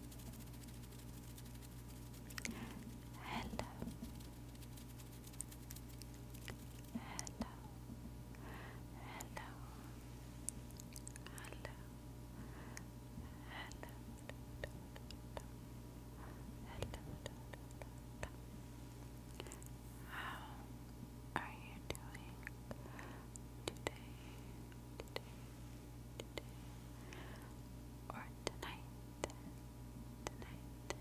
Hello. Hello. Hello. Hello. Hello. How are you doing today? Today, today or tonight, tonight, tonight.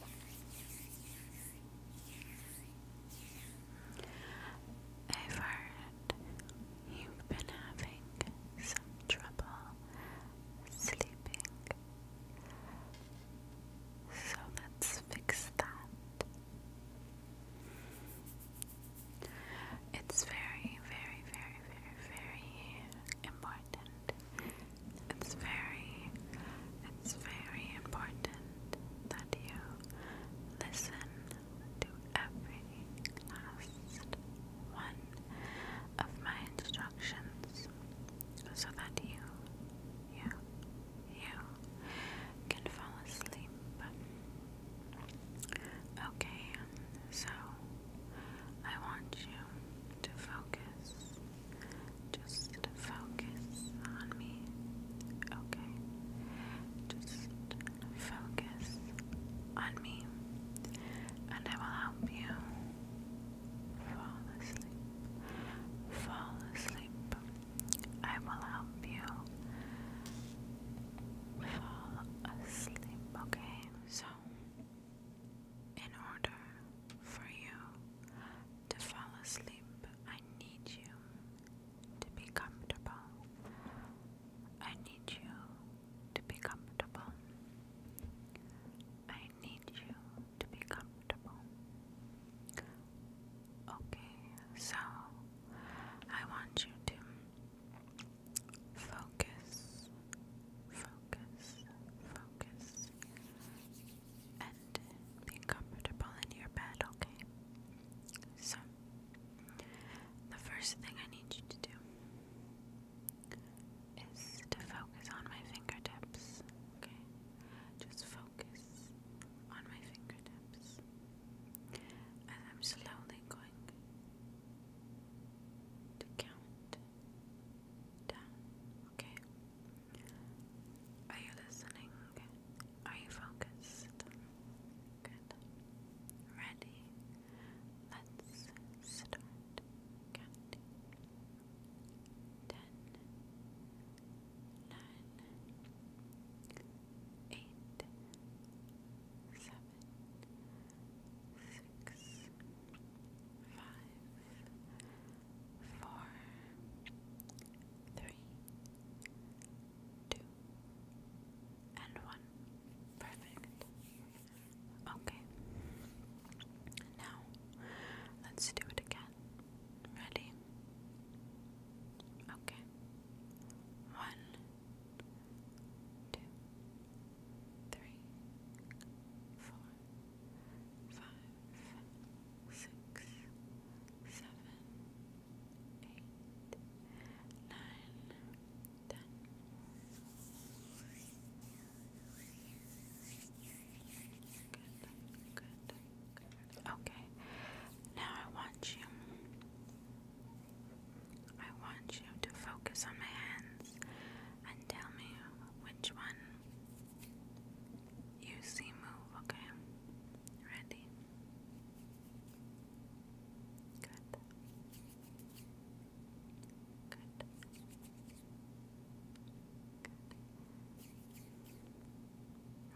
I've heard you've been having some trouble sleeping, so let's fix that. It's very, very, very, very, very important. It's very, it's very important that you listen to every last one of my instructions so that you, you, you can fall asleep. Okay, so I want you to focus. Just focus on me. Okay. Just focus on me, and I will help you fall asleep. Fall asleep. I will help you fall asleep, okay? So, in order for you to fall asleep, I need you to be comfortable. I need you to be comfortable. I need you to be comfortable. Okay, so I want you to focus, focus, focus, and be comfortable in your bed, okay? So, the first thing I need you to do is to focus on my fingertips, okay? Just focus focus on my fingertips as I'm slowly going to count down. Okay? Are you listening? Are you focused? Good. Ready? Let's start counting. Ten, nine, eight, seven, six, five, four, three, two, and one. Perfect. Okay. Now, let's do it again that. Ready? Okay. One, two, three, four, five, six, seven, eight, nine, ten. Good, Okay. Now I want you I want you to focus on my hands and tell me which one you see move, okay? Ready? Good. Good.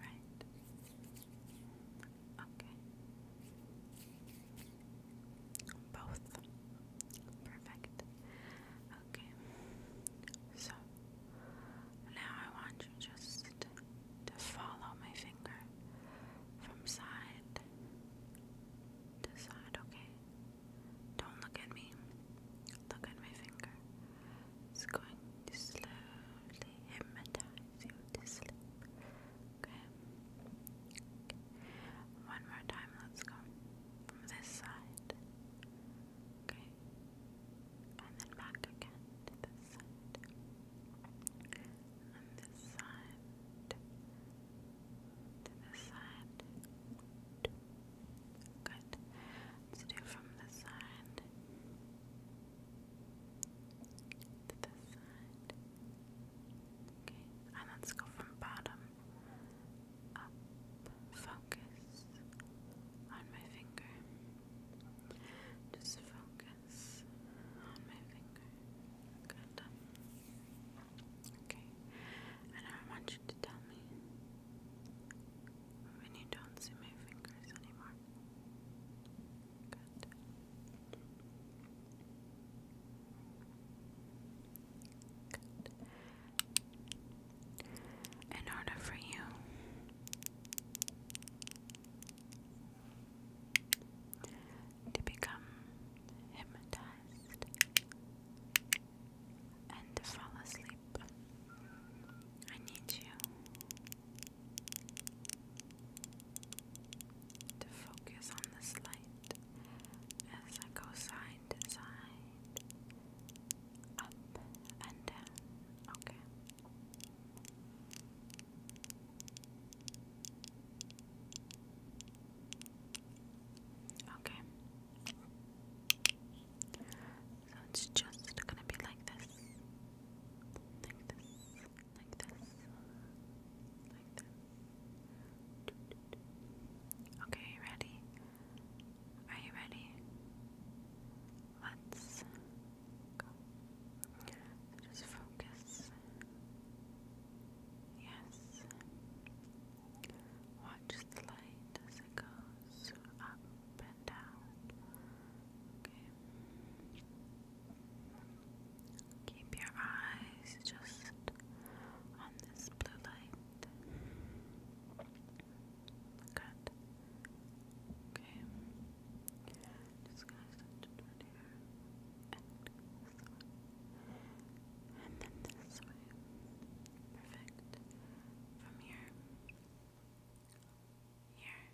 Right. Okay. Both. Perfect. Okay. So now I want you just to follow my finger from side to side, okay? Don't look at me. Look at my finger. It's going to slowly hypnotize you to One more time, let's go. From this side. Okay. And then back again to this side. And this side. To this side. Good. Let's do from the side to this side. Okay, and let's go from bottom up. Focus on my finger. Just focus on my finger. Good. Okay, and I want you to tell me when you don't see my fingers anymore. Good. In order for you to become hypnotized and to fall asleep up. I need you to focus on this light as I go side to side, up and down. Okay. Okay. So it's just gonna be like this, like this, like this, like this. Okay, ready? Are you ready? Let's go. Just focus. Yes. Watch the light as it goes up and down. Okay. Keep your eyes just on this blue light. Good. Okay. Just gonna switch here. And then this way. Perfect. From here, here,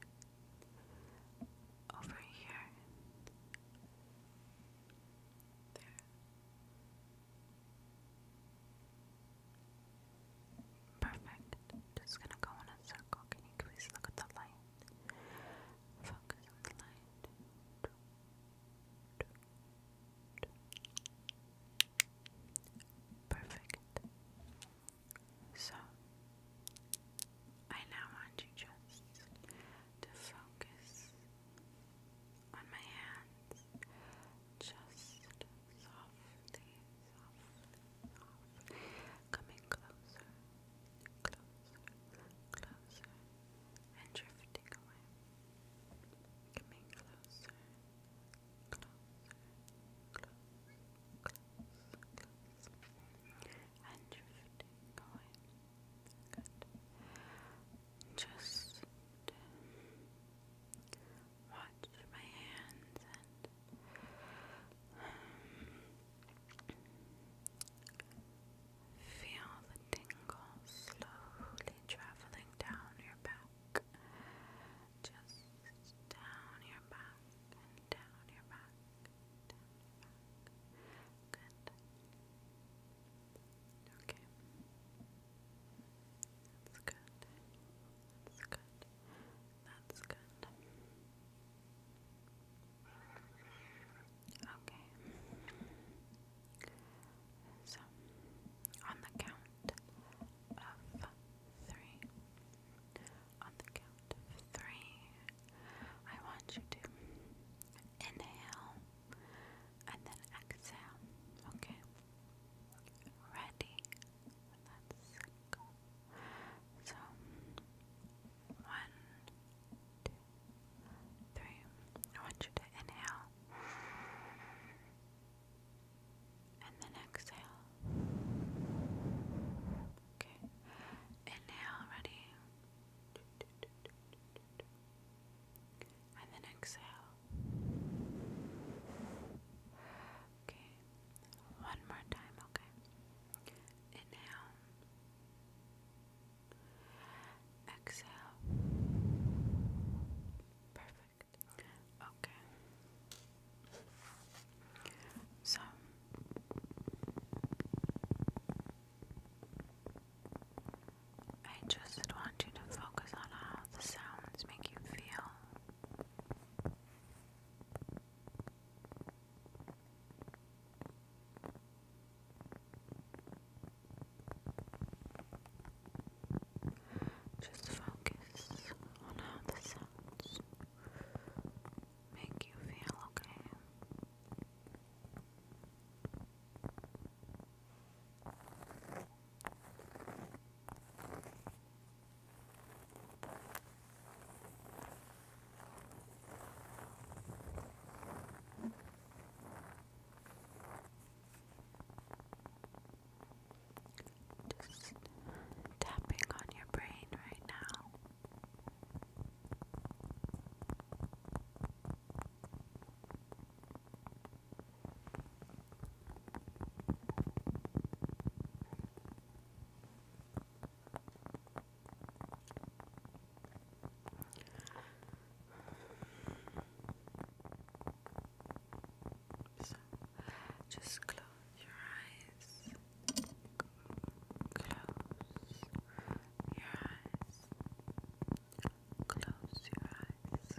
over here, there. Perfect. Just gonna go in a circle. Can you please look at the light? Focus on the light. Perfect. So, I now want you just to focus on my hands. Just softly, softly, Coming closer, closer, closer, and drifting away. Coming closer, closer, close, close, And drifting away. Good. Just watch my hands and Feel the tingle slowly traveling down your back. Just down your back down your back. Down your back. Good. Okay. That's good. That's good. That's good. Okay. So, on the count of three, on the count of three, I want you to inhale and then exhale. Okay. Ready? Let's go. So, one, two, three. I want you to inhale. And then exhale. Okay. Inhale, ready. And then exhale. Okay. One more time, okay? Inhale. Exhale. Perfect. Okay. So I just want to focus on how the sounds make you feel. Just focus on how the sounds make you feel okay. Just tapping on your brain right now just Close your eyes. Close your eyes. Close your eyes. Close your eyes.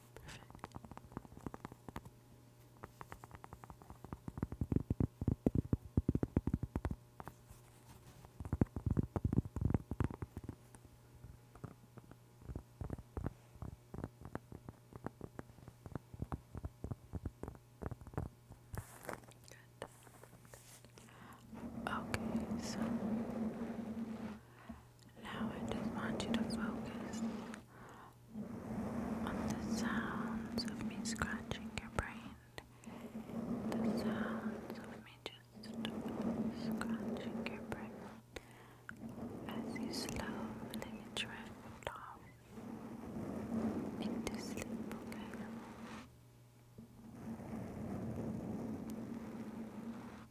Perfect. Good. Okay, so now I just want you to focus on the sounds of me scratching your brain. The sounds of me just scratching your brain as you slowly drift off into sleep, okay?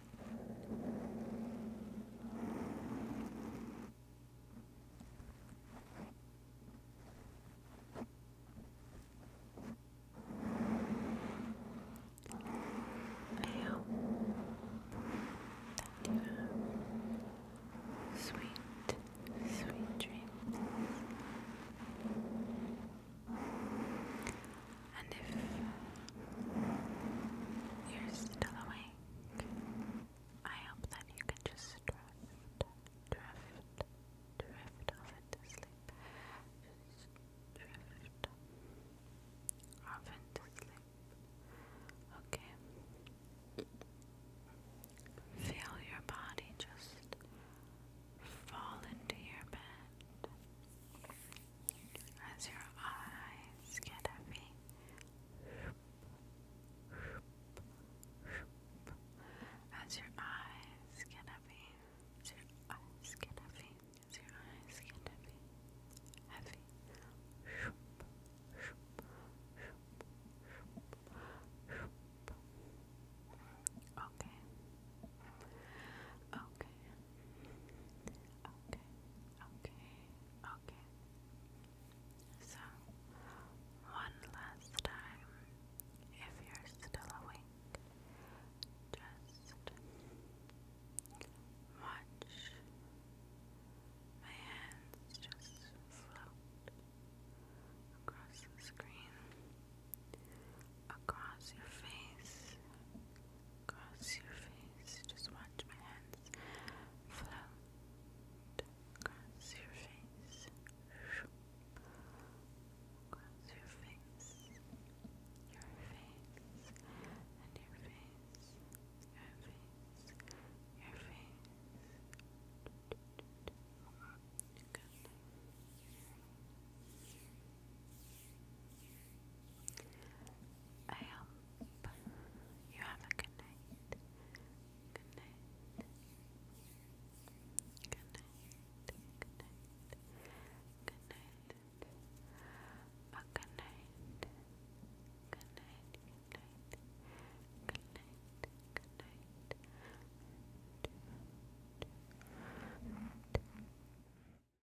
I you sweet, sweet dreams. And if you're still awake, I hope that you can just drift, drift, drift off into sleep. Just drift off into sleep. Okay. Feel your body just fall into your bed as your eyes get heavy. As your eyes get heavy, as your eyes get heavy, as your eyes get heavy, heavy. Okay. Okay. Okay, okay, okay. So, one last time, if you're still awake, just watch my hands just float across the screen, across your face across your face. Just watch my hands float across your face. Across your face. Your face. And your face. Your face. Your face. I hope you have a good night. Good night. Good night. Good night. A good night. Good night. Good night. Good night. Good night.